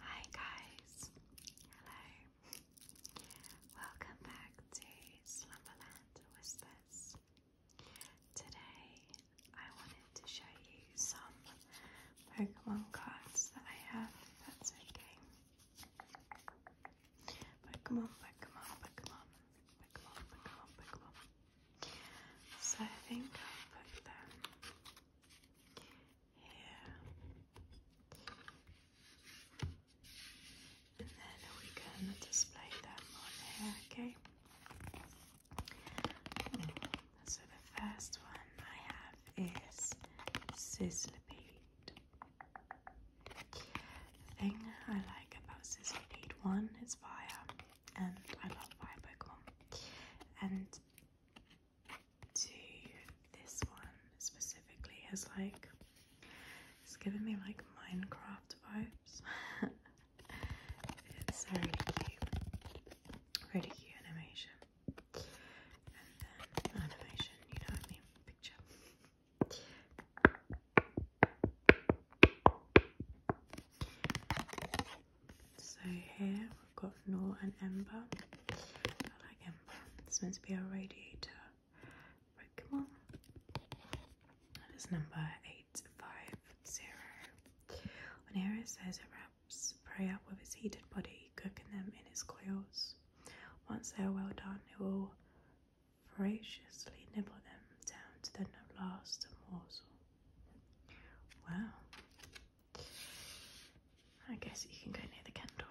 Hi guys, hello, welcome back to Slumberland Whispers. Today, I wanted to show you some Pokemon cards that I have, that's okay. Pokemon, Pokemon, Pokemon, Pokemon, Pokemon, Pokemon. So I think I'll put them here and then we can display them on here, okay? So the first one I have is Sizzlipeed. The thing I like about Sizzlipeed, one, is fire, and I love fire Pokemon. And two, this one specifically is like, it's giving me like Minecraft vibes. it's a really animation. And then animation, you know what I Picture. So here we've got Nor and Ember. I like Ember. It's meant to be our radiator Pokemon. That is number 850. Onero says it wraps prey up with its heated body, cooking them in its coils. Once they are well done, it will voraciously nibble them down to the last morsel. Wow. I guess you can go near the candle.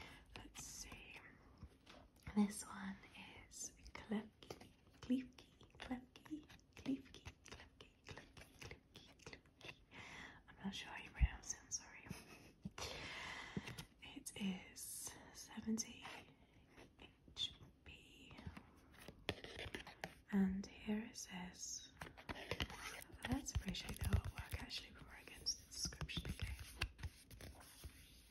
Let's see. This one is Klefki, Klefki, Klefki, Klefki, Klefki, Klefki, Klefki, Klefki. I'm not sure how you pronounce it, sorry. It is 70 HP. And here it says, let's appreciate the artwork actually before I get into the description,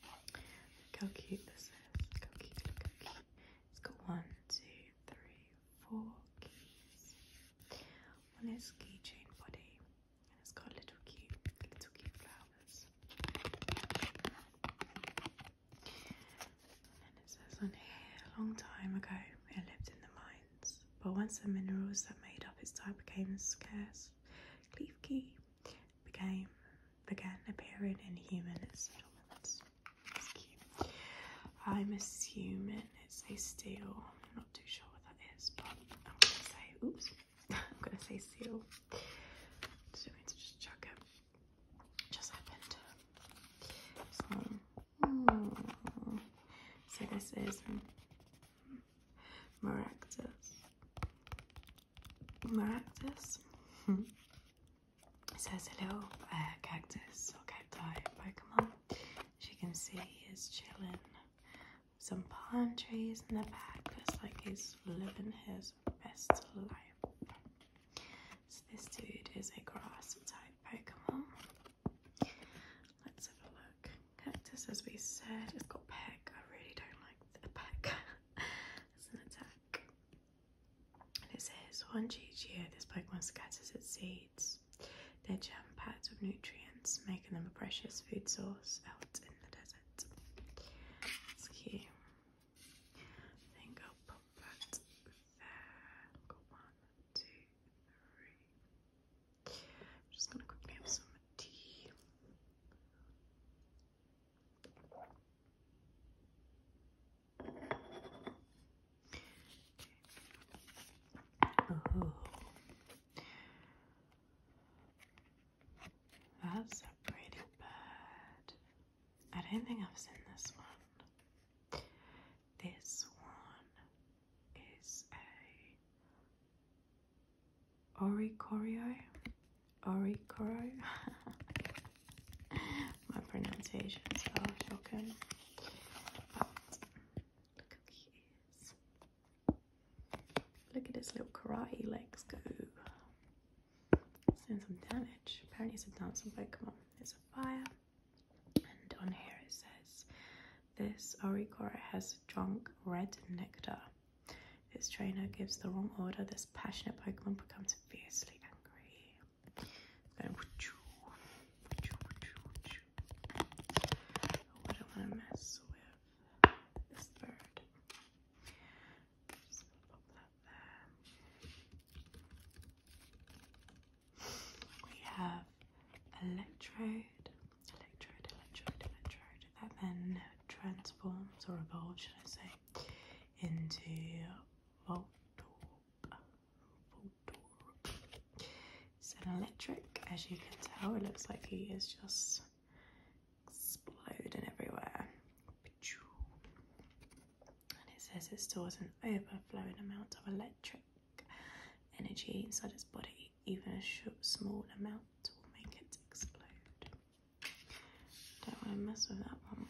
Look how cute this is. Look how cute, look how cute. It's got one, two, three, four keys. One is keychain body, and it's got little cute, little cute flowers. And it says on here, a long time ago, it lived in the mines, but once the minerals that made up its type became scarce, Cleef Key became began appearing in human settlements. I'm assuming it's a seal. I'm not too sure what that is, but I'm gonna say oops. I'm gonna say seal. Just chuck it. Just happened. So, this is Maractus. Maractus. so it's a little uh, cactus or cacti Pokemon. As you can see, he's chilling. Some palm trees in the back. Looks like he's living his best life. So this dude is a grass type Pokemon. Let's have a look. Cactus, as we said, it's got peck. I really don't like the peck. It's an attack. it says once each year this Pokemon scatters its seeds. They're jam packed with nutrients, making them a precious food source out in the desert. That's cute. I think i that there. one, just gonna quickly have some tea. That's a pretty bird. I did not think I've seen this one. This one is a Ori Corio. Ori Coro. My pronunciation is off But look how cute Look at his little karate legs go. doing some damage. Apparently it's a dancing on, It's a fire. And on here it says this Oricora has drunk red nectar. This trainer gives the wrong order, this passionate Pokemon becomes fiercely angry. I don't want to mess with this bird. We have electrode, electrode, electrode, electrode. That then transforms, or evolves, should I say, into Voltorb. Voltorb. It's an electric, as you can tell. It looks like he is just exploding everywhere. And it says it stores an overflowing amount of electric energy inside its body. Even a small amount will make it explode. Don't want to mess with that one.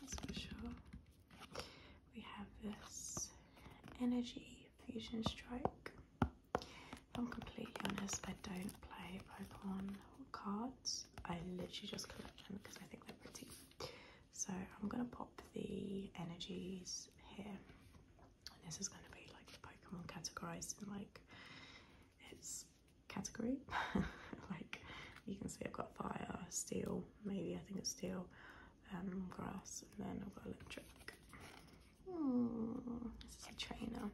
That's for sure. We have this Energy Fusion Strike. If I'm completely honest, I don't play Pokemon cards. I literally just collect them because I think they're pretty. So I'm going to pop the energies here. And this is going to be like the Pokemon categorized in like its category. like you can see I've got fire, steel, maybe I think it's steel, um, grass, and then I've got electric. Hmm, this is a trainer.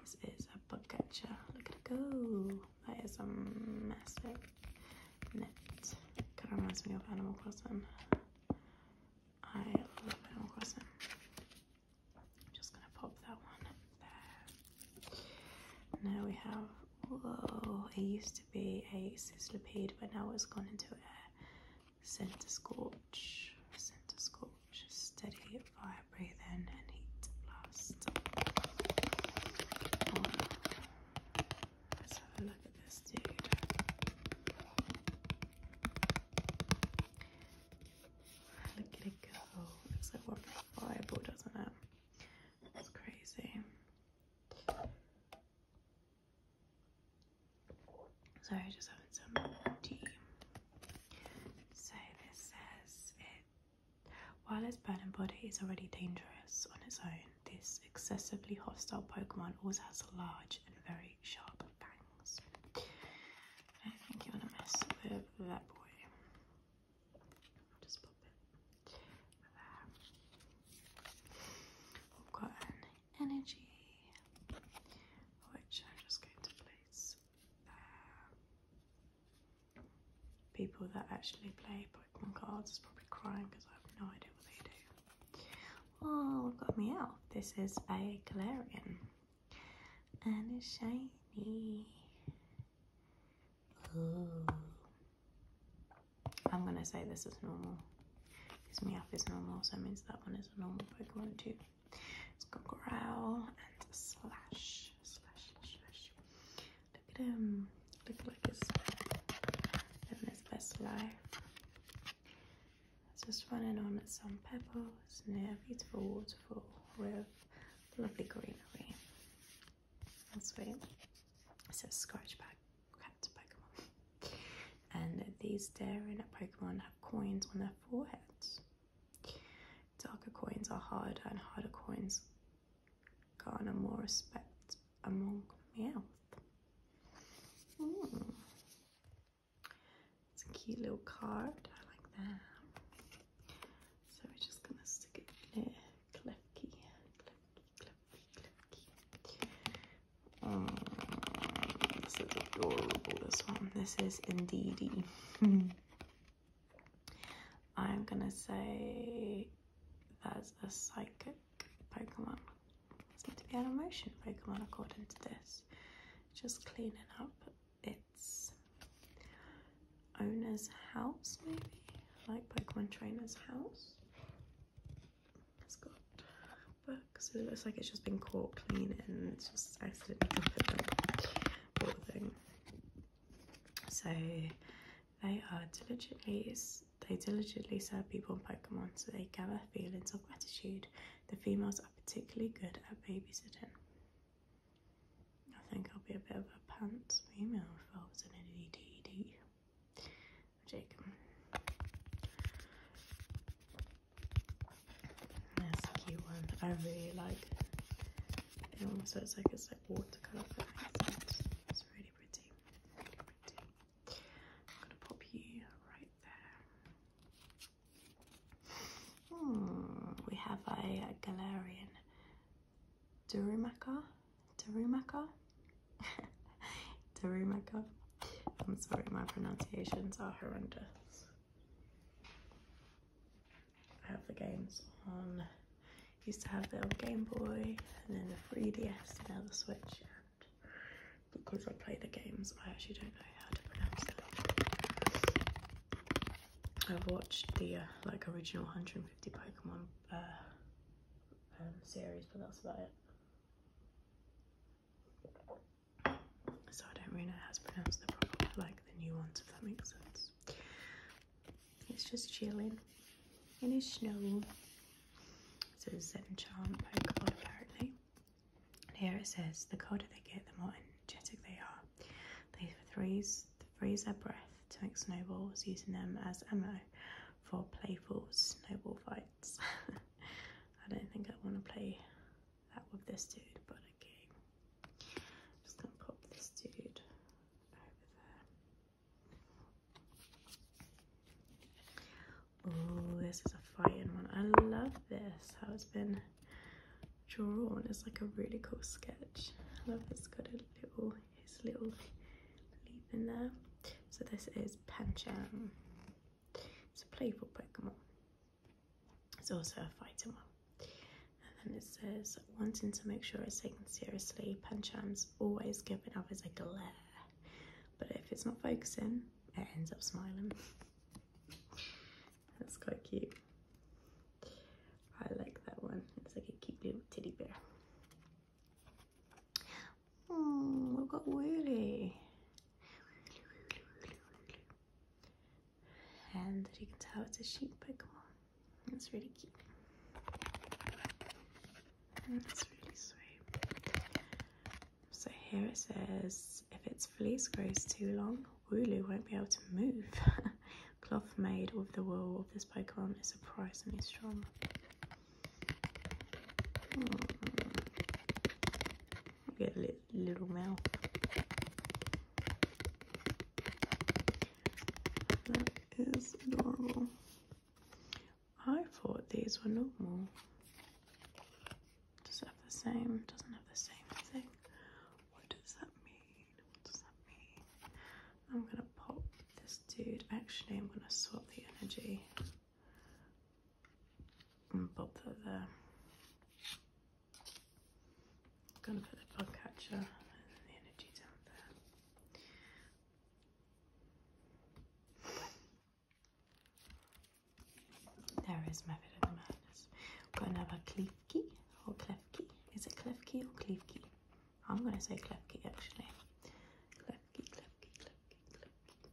This is a bug catcher. Look at it go. That is a massive net. Kind of reminds me of Animal Crossing. I love Animal Crossing. I'm just gonna pop that one there. Now we have, whoa, it used to be a sislipede, but now it's gone into a center scorch, center scorch, steady fire breathing and heat blast. Oh, let's have a look at this dude. Look at it go. It's like one reliable, doesn't it? It's crazy. Sorry, I just having some tea. So this says it while its burning body is already dangerous on its own, this excessively hostile Pokemon also has large and very sharp fangs. I think you want to mess with that boy. Just pop it there. We've got an energy, which I'm just going to place there. Uh, people that actually play Pokemon cards is probably crying because I have no idea what they do. Oh, I've got me out. This is a Galarian and it's shiny. Ooh. I'm gonna say this is normal. Because Meowth is normal, so that means that one is a normal Pokemon too. It's got growl and slash, slash, slash, Look at him. Look like he's living his best life. It's just running on some pebbles near a beautiful waterfall with lovely greenery. That's sweet. It says Scratch Pack Pokemon. And these daring Pokemon have coins on their foreheads. Darker coins are harder and harder coins garner more respect among Meowth. Mm. It's a cute little card. I like that. So we're just gonna stick it there. Clefky, clefky, clefky, clefky. Oh, mm, this is adorable. This one. This is Indeedy. I'm gonna say that's a psychic Pokemon. It's meant to be an emotion Pokemon according to this. Just cleaning up it's owner's house, maybe? Like Pokemon Trainer's house. It's got books. It looks like it's just been caught clean and it's just accidentally dropped it sort of thing. So they are diligently they diligently serve people and Pokemon, so they gather feelings of gratitude. The females are particularly good at babysitting. I think I'll be a bit of a pants female if I was an ADD. Jacob. That's a cute one. I really like it. It almost looks like it's like watercolour, but it's, it's really pretty. Really pretty. gonna pop you right there. Hmm, we have a, Galarian Durumaka, Durumaka, Durumaka. I'm sorry, my pronunciations are horrendous. I have the games on. Used to have the old Game Boy and then the 3DS, now the Switch. And because I play the games, I actually don't know how to pronounce them. I've watched the uh, like original 150 Pokemon uh, um, series, but that's about it. So I don't really know how to pronounce the proper, like the new ones, if that makes sense. It's just chilling in his snow. It's a Zen charm Pokemon apparently. And here it says the colder they get, the more energetic they are. They freeze, freeze their breath to make snowballs, using them as ammo for playful snowball fights. I don't think I want to play that with this dude, but okay. just going to pop this dude over there. Oh, this is a fighting one. I love this, how it's been Drawn is like a really cool sketch. I love it's got a little his little leaf in there. So this is Pancham. It's a playful Pokemon. It's also a fighter. one. And then it says, wanting to make sure it's taken seriously, Pancham's always giving others a glare. But if it's not focusing, it ends up smiling. That's quite cute. I like that one. It's like a cute little teddy bear. Oh, we've got Willy. And you can tell it's a sheep But come on, It's really cute. That's really sweet. So here it says, if its fleece grows too long, Wooloo won't be able to move. Cloth made of the wool of this Pokemon is surprisingly strong. Hmm. Get a li little mouth. That is adorable. I thought these were normal. Does it have the same? Doesn't have the same thing. What does that mean? What does that mean? I'm gonna pop this dude. Actually, I'm gonna swap the energy and pop that there. I'm gonna put the bug catcher and the energy down there. There is my bit of the madness. have got another or Klefki. Is it Klefki or Klefki? I'm gonna say Klefki actually. Klefki, Klefki, Klefki, Klefki.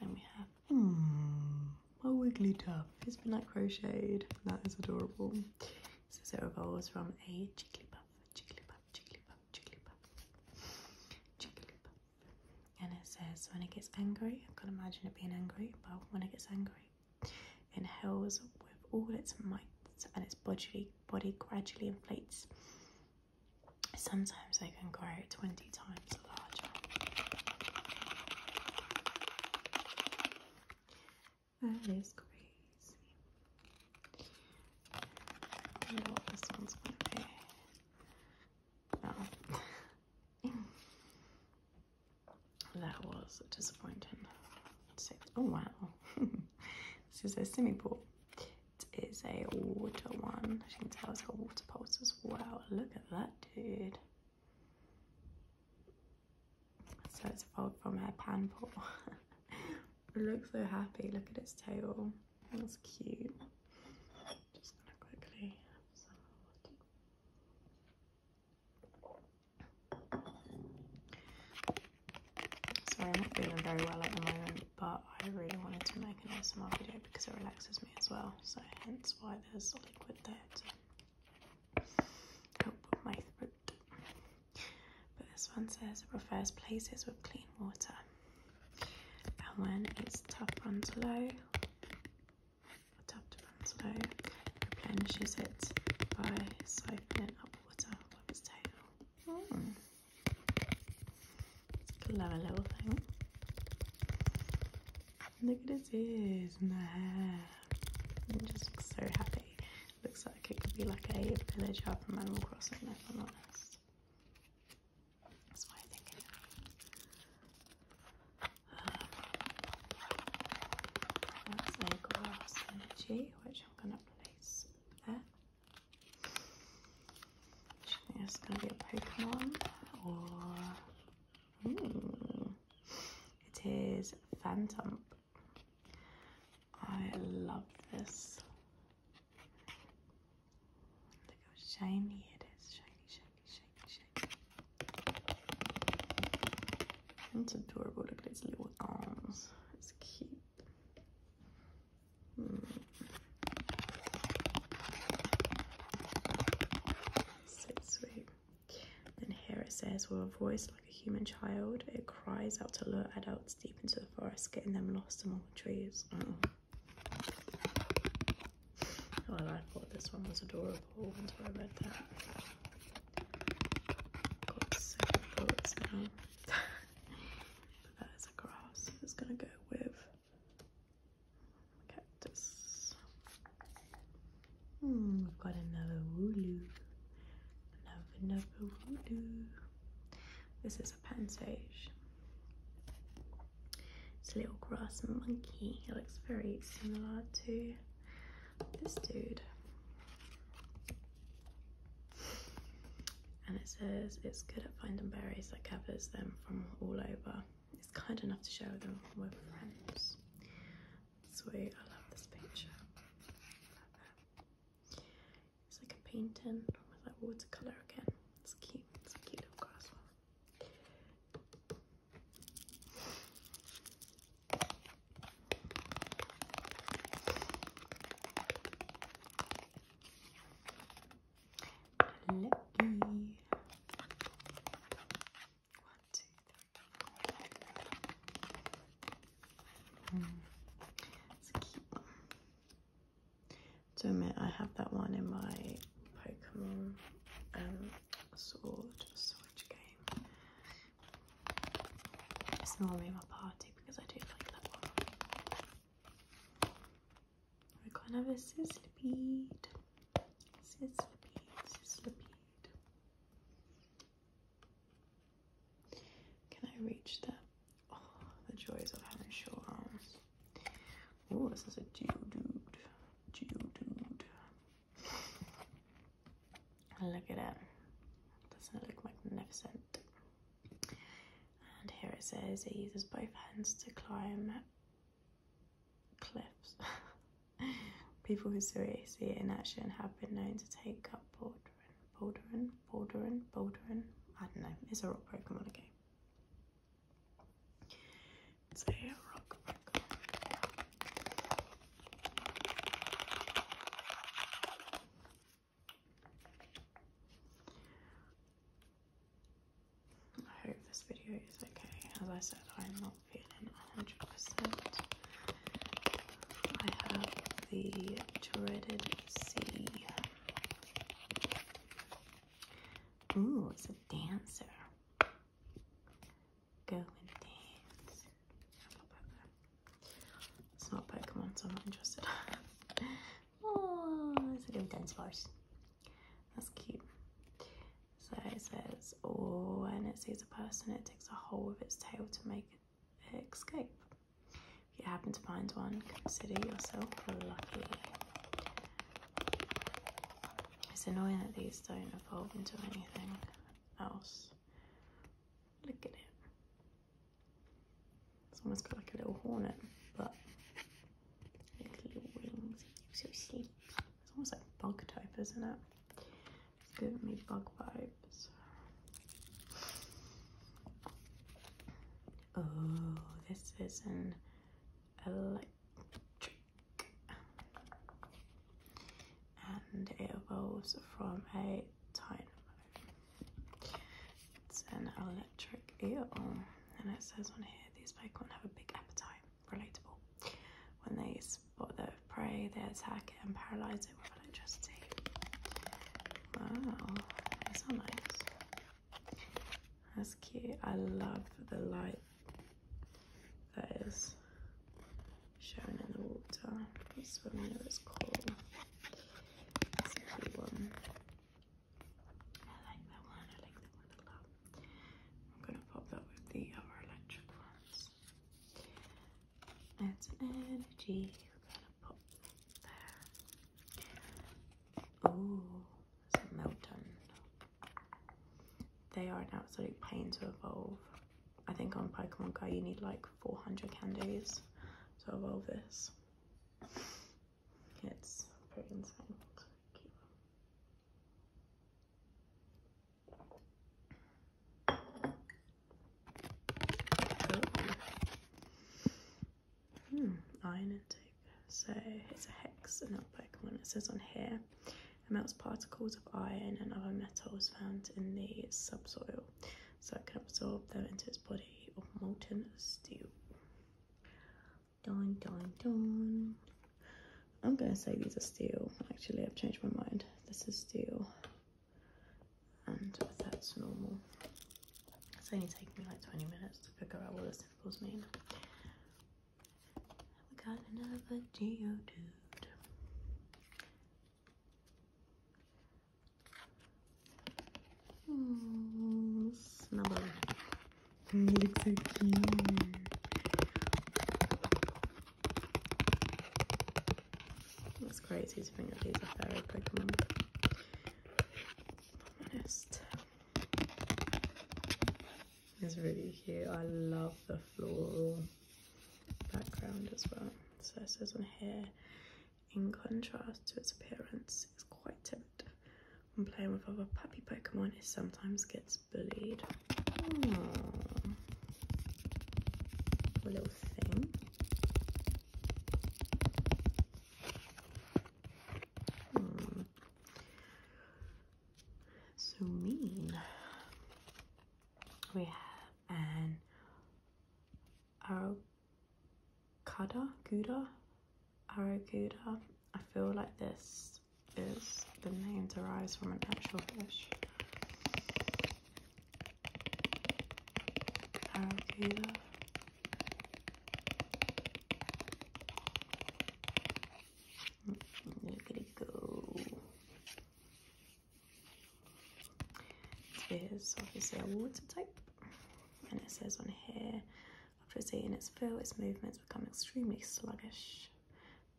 Then we have hmm, a Wigglytuff. It's been like crocheted. That is adorable. So it evolves from a Jigglypuff, Jigglypuff, Jigglypuff, Jigglypuff, Jigglypuff. And it says when it gets angry, I can imagine it being angry, but when it gets angry, inhales with all its might, and its bodily body gradually inflates. Sometimes they can grow 20 times larger. That is crazy. I know what this one's going to be. Oh. that was disappointing. Oh wow, this is a swimming pool. It is a water one. As can tell, it's got water pulse as well. Look at that, dude. So it's a evolved from her pan pool. it looks so happy. Look at its tail. That's cute. Just gonna quickly Sorry, I'm not feeling very well at the moment, but I really wanted to make an ASMR video because it relaxes me as well, so hence why there's liquid there to help with my throat. But this one says it prefers places with clean water, and when its tough runs low, Adapter runs low, replenishes it by siphoning up water from its tail. Mm. little thing. Look at his ears and the hair. It just looks so happy. Looks like it could be like a villager from Animal Crossing, if I'm honest. That's why I think it that's a glass energy, which I'm going to place there. I it's going to be a Pokemon or. Ooh, hmm, it is Phantom. I love this. Look how shiny it is. Shiny, shiny shake, shake. It's adorable. Look at its little arms. It's cute. Mm. So sweet. And here it says, with a voice like a human child, it cries out to lure adults deep into the forest, getting them lost among the trees. Mm. However, oh, I thought this one was adorable until I read that. Got seven bullets now. that is a grass. It's gonna go with cactus. Hmm, we've got another wooloo. Another, another wooloo. This is a pen sage. It's a little grass monkey. It looks very similar to this dude. And it says it's good at finding berries that covers them from all over. It's kind enough to share them with friends. Sweet, I love this picture. it's like a painting with like watercolour again. It's cute, it's cute little grass Lucky. One, two, three. Mm. It's cute. I have that one in my Pokemon um, sword, switch game. It's normally my party because I do like that one. I are gonna have a sizzlipeed. Sizzlipeed, sizzlipeed. Can I reach that? Oh, the joys of having short arms. Oh, this is a doo doo doo doo. Look at it. Doesn't it look magnificent? And here it says it uses both hands to climb cliffs. People who see it in action have been known to take up bouldering, bouldering, bouldering, bouldering. I don't know. It's a rock Pokemon again. It's a I hope this video is okay. As I said, I'm not feeling 100%. I have the dreaded C. Ooh, it's a dancer go and dance. It's not Pokemon, so I'm not interested. oh, it's a little dance bars. That's cute. So it says, oh, and it sees a person, it takes a hole with its tail to make escape. If you happen to find one, consider yourself lucky. It's annoying that these don't evolve into anything else. Look at it. It's almost got like a little hornet, but little wings. So sleek. It's almost like bug type, isn't it? It's giving me bug vibes. Oh, this is an electric and it evolves from a dynamo. It's an electric eel, and it says on here these Pokemon have a big appetite. Relatable. When they spot their prey, they attack it and paralyze it with electricity. Wow, these nice. That's cute. I love the light that is shown in the water. This one here is cool. That's a cool one. I like that one, I like that one a lot. I'm gonna pop that with the other electric ones. That's an energy. We're gonna pop there. Oh, it's a They are an absolute pain to evolve. I think on Pokemon Go you need like 400 candies to evolve this. It's pretty insane. Hmm, iron intake. So it's a hex and not Pokemon. It says on here and melts particles of iron and other metals found in the subsoil so it can absorb them into its body of molten steel. Dun dun dun. I'm gonna say these are steel. Actually, I've changed my mind. This is steel, and that's normal. It's only taken me like 20 minutes to figure out what the symbols mean. We got another Geodude. Mm, Snubber. He looks so cute. It's crazy to think that these are fairy Pokemon. honest. It's really cute. I love the floral background as well. So it says on here, in contrast to its appearance, it's quite timid. When playing with other puppy Pokemon, it sometimes gets bullied. A little thing. Hmm. So mean we have an Arokada, Gouda, Arokuda. I feel like this is the name derives from an actual fish. Arokuda. Mm, mm, mm, Look go. It is obviously a water type, and it says on here, after it's eaten its fill, its movements become extremely sluggish.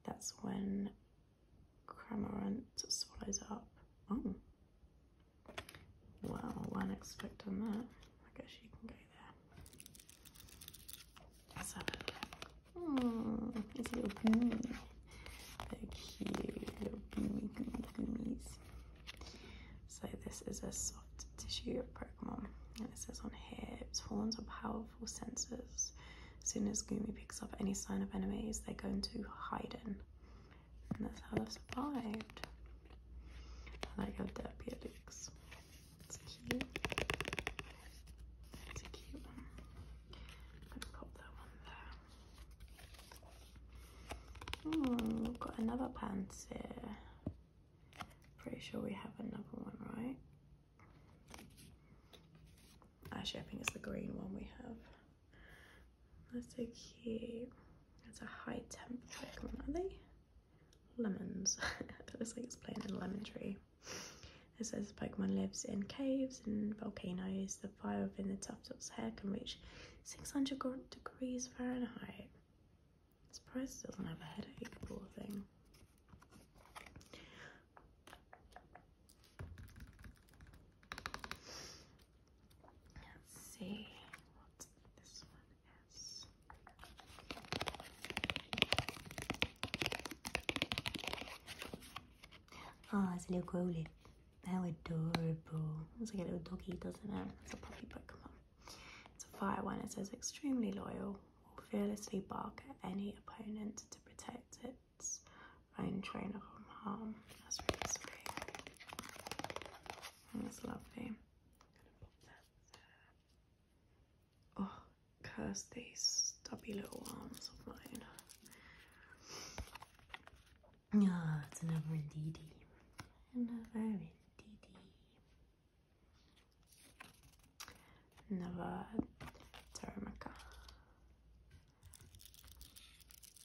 That's when Cramorant swallows up. Oh. Wow, not expect on that. I guess you can go there. Oh, little gooey. They're cute little gooey, gooey, So this is a soft tissue Pokemon. And it says on here, its horns are powerful senses. As soon as Gumi picks up any sign of enemies, they're going to hide in. And that's how they've survived. I like how derpy it looks. It's cute. It's a cute one. Hmm, got another pants here. Pretty sure we have another one, right? Actually, I think it's the green one we have. That's so cute. It's a high temp lemon, are they? Lemons. it looks like it's playing in lemon tree. It says the Pokemon lives in caves and volcanoes. The fire within the Tuftops hair can reach 600 degrees Fahrenheit. Surprise! doesn't have a headache, poor thing. Let's see what this one is. Ah, it's a little growly. How adorable. It's like a little doggy, doesn't it? It's a puppy Pokemon. It's a fire one. It says extremely loyal, will fearlessly bark at any opponent to protect its own trainer from harm. That's really sweet. That's lovely. Oh, curse these stubby little arms of mine. Yeah, it's an Avrendidi. An Avrendidi. Another Terramica.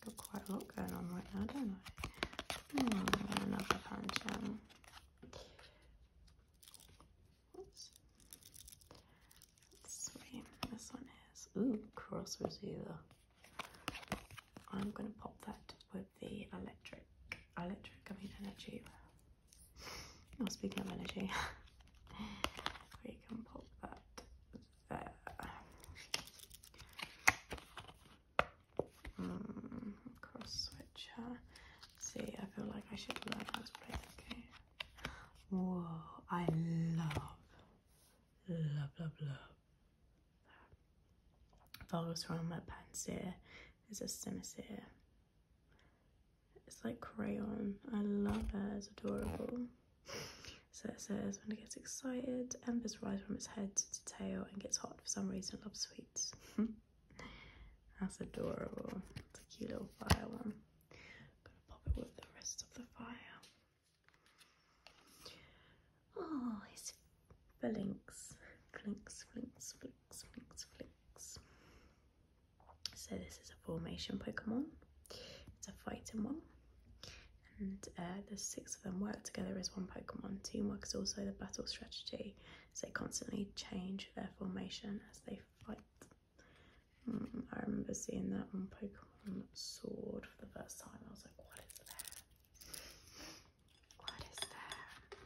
Got quite a lot going on right now, don't I? another Pancham. Sweet. This one is ooh cross receiver. I'm gonna pop that with the electric, electric. I mean energy. Not oh, speaking of energy, we can pop that there. Hmm, cross switcher. See, I feel like I should learn how to play this game. Whoa! I love Blah blah blah. Vargas from my pants here. It's a scimitar. It's like crayon. I love it. It's adorable. So it says, when it gets excited, embers rise from its head to tail and gets hot for some reason, loves sweets. That's adorable. It's a cute little fire one. I'm gonna pop it with the rest of the fire. Oh, his flinks, flinks, flinks, flinks, flinks. So this is a formation Pokemon. It's a fighting one. And uh, the six of them work together as one Pokemon. Teamwork is also the battle strategy. So they constantly change their formation as they fight. Mm, I remember seeing that on Pokemon Sword for the first time. I was like, what is that? What is that?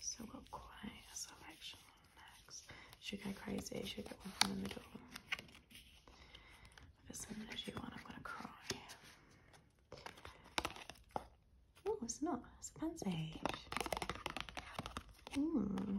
Still got quite a selection next. Should go crazy, should get one from the middle. If it's an energy one, I'm gonna cry. Oh, it's not, it's a fancy. Mmm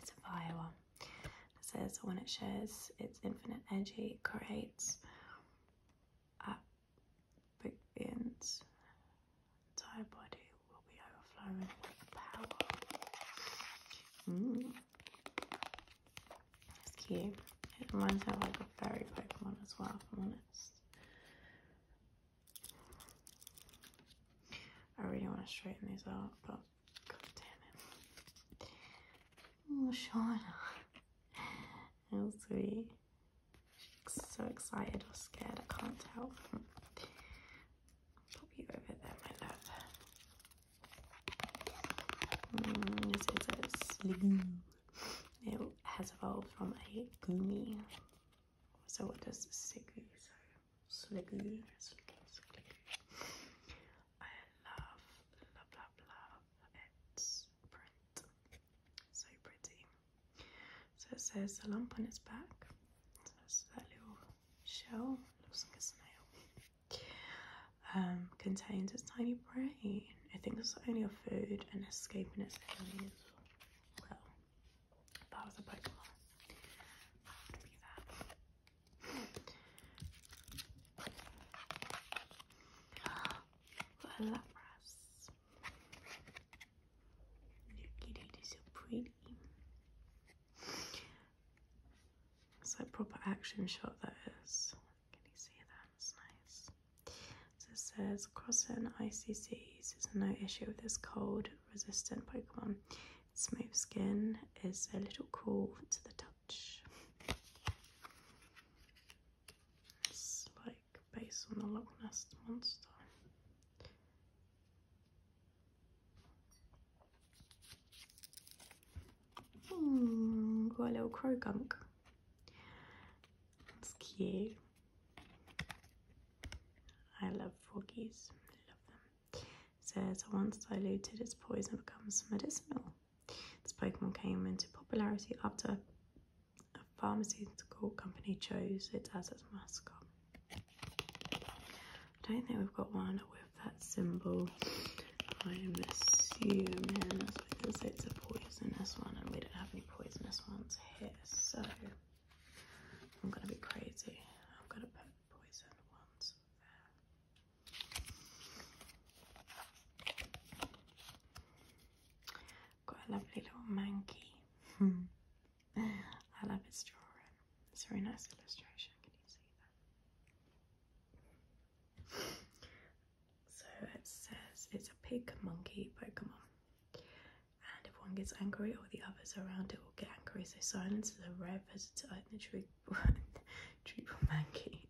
It's a fire one. It says when it shares its infinite energy, it creates at begins. Entire body will be overflowing with power. Mm. It's cute. It reminds me of like a fairy Pokemon as well, i I really want to straighten these out, but God damn Oh, Shauna. How sweet. She's so excited or scared, I can't tell. Pop you over there, my love. Mm, this is a slug. It has evolved from a gummy. So what does Sigu? So, sligoo, I love, love, love, love its print. So pretty. So it says a lump on its back. So that's that little shell, looks like a snail. Um, contains its tiny brain. I It thinks only a food and escaping its enemies. Well, that was a Pokemon. Voilà. Look at it, it's so pretty. It's like proper action shot that is. Can you see that? It's nice. So it says, across certain ICCs, there's no issue with this cold-resistant Pokemon. smooth skin is a little cool to the touch it's like based on the Loch Ness monster. Hmm, got a little crow gunk. That's cute. I love fogies. I love them says once diluted, its poison becomes medicinal. This Pokemon came into popularity after a pharmaceutical company chose it as its mascot. I don't think we've got one with that symbol. I'm assuming because it's a poisonous one and we don't have any poisonous ones here. So I'm going to be crazy. I'm going to put poison ones there. Got a lovely little monkey. I love its drawing. It's a very nice illustration. Can you see that? so it says it's a pig monkey Pokemon. And if one gets angry or the others around it will get angry, so silence is a rare visitor in the tree triple monkey.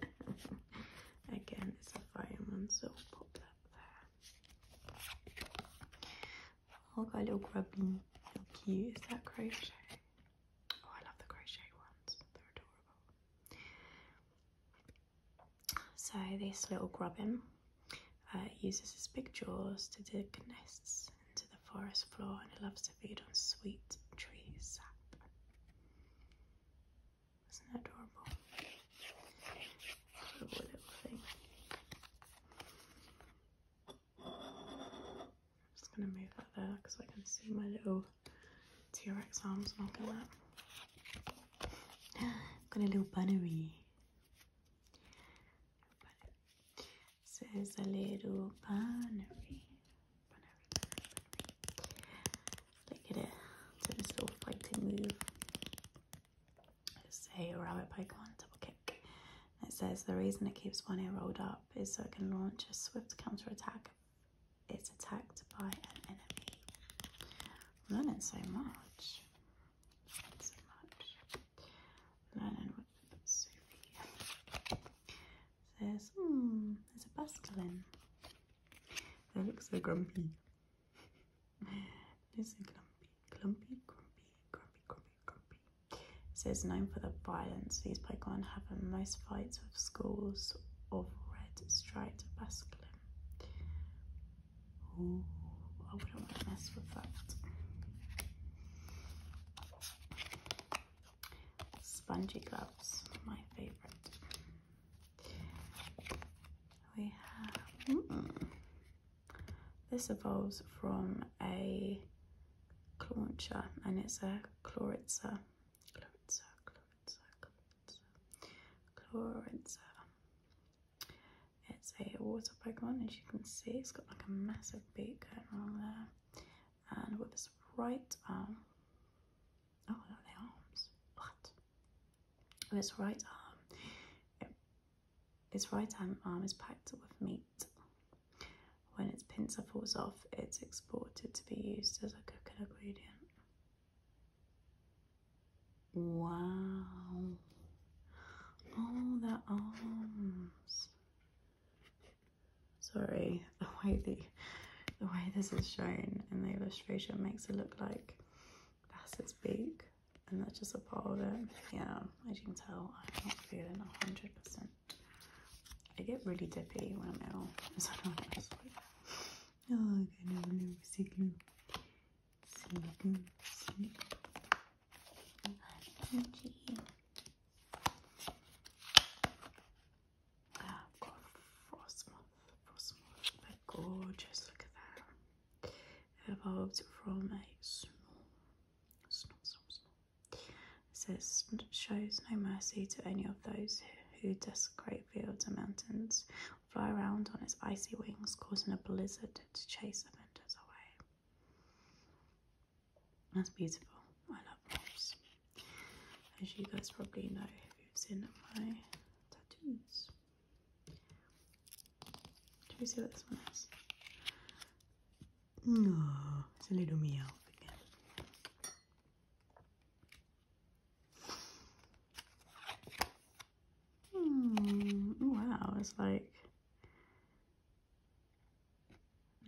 Again, it's a fire one, so pop that there. i oh, got a little grubbing, how cute is that crochet? Oh, I love the crochet ones, they're adorable. So, this little grubbin uh, uses its big jaws to dig nests to the forest floor and he loves to feed on sweet tree sap. Isn't that adorable? little thing. I'm just going to move that there because I can see my little T-Rex arms knocking that. Got a little bunny says a little bunnery. Look at it. So this little floating move. It's rabbit Pokemon double kick. It says the reason it keeps one ear rolled up is so it can launch a swift counter attack. It's attacked by an enemy. i learning so much. So much. Learning Sophia says, hmm, there's a Basculin. They look so grumpy. This is so clumpy, clumpy, grumpy, grumpy, grumpy, grumpy. says known for the violence, these Pokemon have in most fights with schools of red striped Basculin. Ooh, I wouldn't want to mess with that. Spongy gloves, my favorite. We have hmm, this evolves from a clauncher and it's a chloritza. Chloritza, chloritza, chloritza, It's a water Pokemon, as you can see, it's got like a massive beak going on there and with his right arm. Oh no, the arms. What? his right arm. his right arm, is packed with meat. When its pincer falls off, it's exported to be used as a cooking ingredient. Wow. Oh, their arms. Sorry, the way the, way this is shown in the illustration makes it look like that's its beak and that's just a part of it. Yeah, as you can tell, I'm not feeling 100%. I get really dippy when I'm ill, so oh, oh I'm gonna sick glue. Sick glue, sick glue. I've got Frostmoth. Frostmoth, they're gorgeous. Look at that. Evolved from a snore. Snore, It says, shows no mercy to any of those who desecrate fields and mountains, fly around on its icy wings, causing a blizzard to chase adventurers away. That's beautiful. I love moths. As you guys probably know if you've seen my tattoos. do you see what this one is? No, it's a little meow again. Hmm. Wow, it's like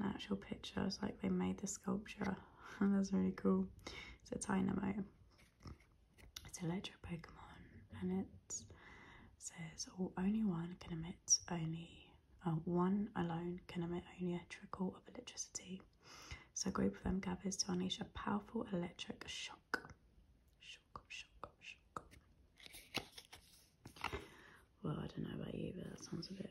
an actual picture. like they made the sculpture. That's really cool. It's a Dynamo. It's a electric Pokemon and it says only one can emit only uh, one alone can emit only a trickle of electricity. So a group of them gathers to unleash a powerful electric shock. Shock, shock, shock. Well, I don't know about you, but that sounds a bit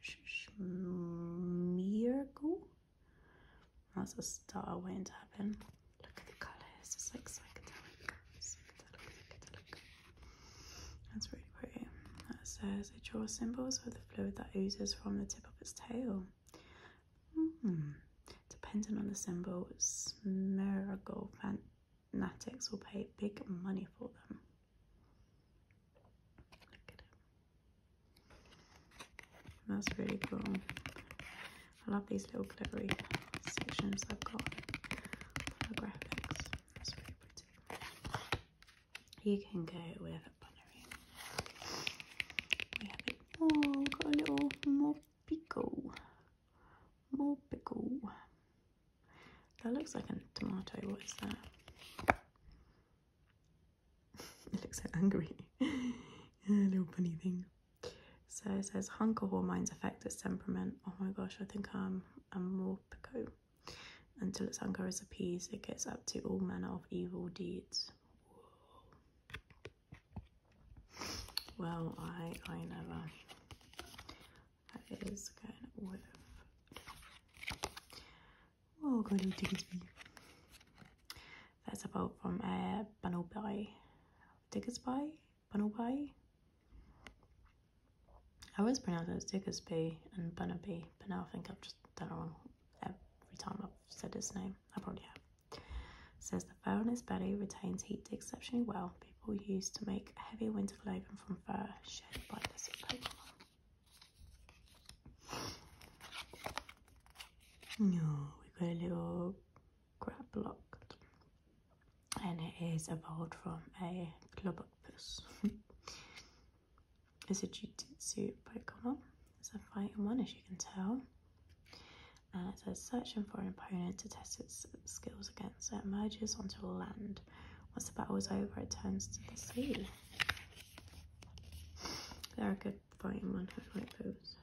Schmiergo. That's a star waiting to happen. Look at the colours, it's like psychedelic. Psychedelic, That's really pretty. That says it draws symbols with the fluid that oozes from the tip of its tail. Depending on the symbol, Smirgol Natix will pay big money for them. That's really cool. I love these little glittery sections I've got graphics. That's really pretty. You can go with a bunnery. We have it. Oh, got a little more pickle. More pickle. That looks like a tomato. What is that? it looks so angry. a little bunny thing. So it says hunger hormones affect its temperament. Oh my gosh, I think I'm a morpico. Until its hunger is appeased, it gets up to all manner of evil deeds. Well, I I never that is kind of what Oh god, it tickets me. That's from uh, Banobai. Tickets by? I always pronounce it as Tickets and Banobai, but now I think I've just done it wrong every time I've said his name. I probably have. It says the fur on his belly retains heat exceptionally well. People used to make heavy winter clothing from fur shed by this Pokemon. No, we've got a little grab locked, and it is a bolt from a club octopus. it's a jujitsu Pokemon. It's a fighting one, as you can tell. And it's says search for an opponent to test its skills against it merges onto land once the battle is over, it turns to the sea. They're a good fighting one, I like those.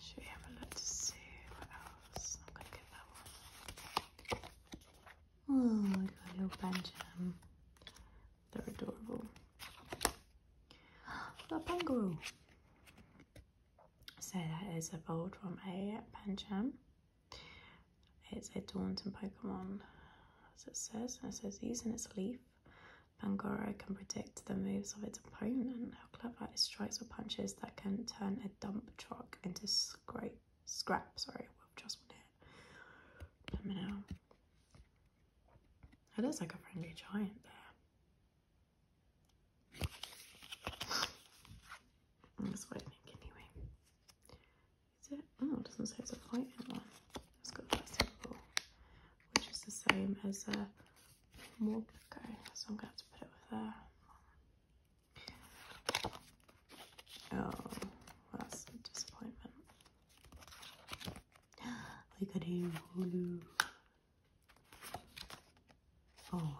Should we have a look to see what else? I'm gonna get that one. Oh, we got little Benjamin. They're adorable. Got a So that is a bold from a Pancham. It's a Daunting Pokemon, as it says, and it says using its leaf, Bangoro can predict the moves of its opponent. How clever! It strikes with punches that can turn a dump truck into scrape, scrap. Sorry, with just one hit. Let know. It like a friendly giant That's what I think anyway. Is it? Oh, it doesn't say it's a white one. It's got that which is the same as a Morpco, so I'm going to have to put it with there. Oh, that's a disappointment. Look at him. Oh,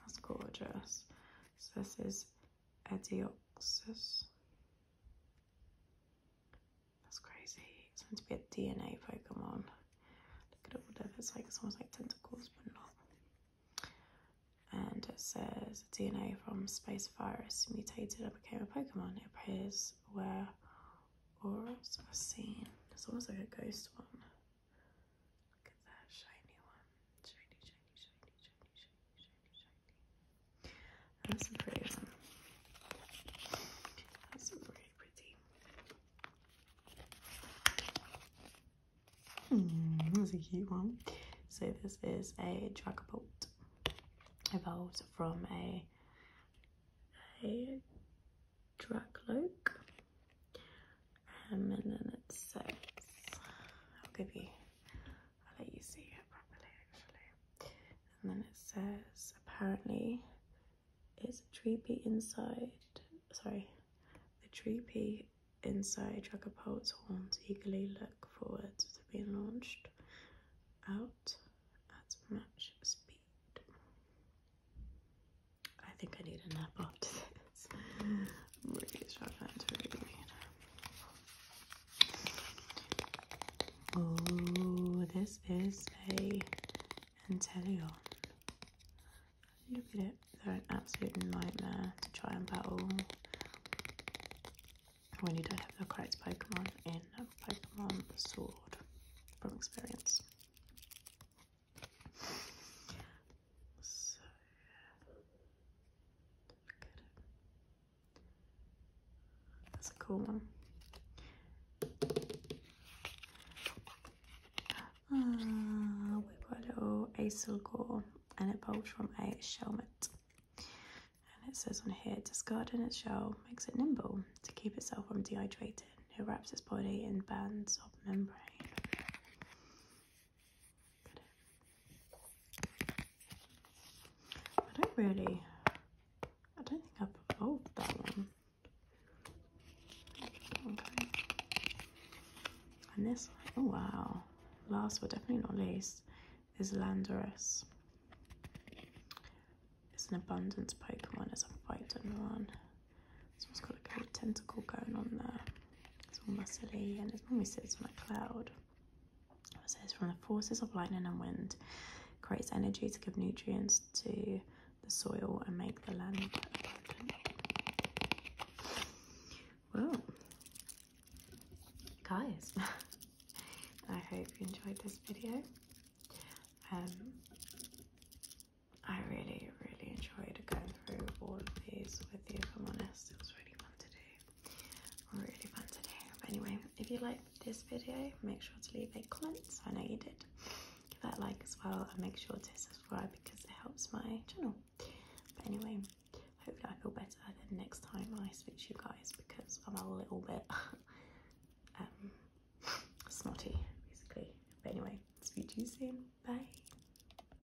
that's gorgeous. So this is Edioxus. That's crazy. It's meant to be a DNA Pokemon. Look at what that. It's like it's almost like tentacles, but not. And it says DNA from space virus mutated and became a Pokemon. It appears where auras are seen. It's almost like a ghost one that shiny one. That's a pretty one. That's pretty pretty. Hmm, that's a cute one. So this is a Dragapult. Evolved from a a Dracloak and then it says, I'll give you, I'll let you see it properly And then it says, apparently it's a tree inside, sorry, the tree inside Jack of Poet's horns eagerly look forward to being launched out at much speed. I think I need a nap after this. Oh, this is a Anteleon. Look at it. They're an absolute nightmare to try and battle when you don't have the correct Pokemon in Pokemon Sword from experience. So yeah, look at it. That's a cool one. Uh, ah, we've got a little Acel Gore and it bulbs from a shelmet. And it says on here, discarding its shell makes it nimble to keep itself from dehydrating. It wraps its body in bands of membrane. I don't really, I don't think I've evolved that one. Okay. And this one, oh wow. Last but definitely not least is Landorus. It's an abundance Pokemon, it's a fighting one. This one's got a little tentacle going on there. It's all muscly and it's mummy sits on a cloud. It says from the forces of lightning and wind, creates energy to give nutrients to the soil and make the land abundant. Well, guys, I hope you enjoyed this video. Um, I really, really, really enjoyed going through all of these with you, if I'm honest. It was really fun to do. Really fun to But anyway, if you liked this video, make sure to leave a comment. So I know you did. Give that like as well and make sure to subscribe because it helps my channel. But anyway, hopefully I feel better the next time I speak to you guys because I'm a little bit um, snotty, basically. But anyway, speak to you soon. Bye.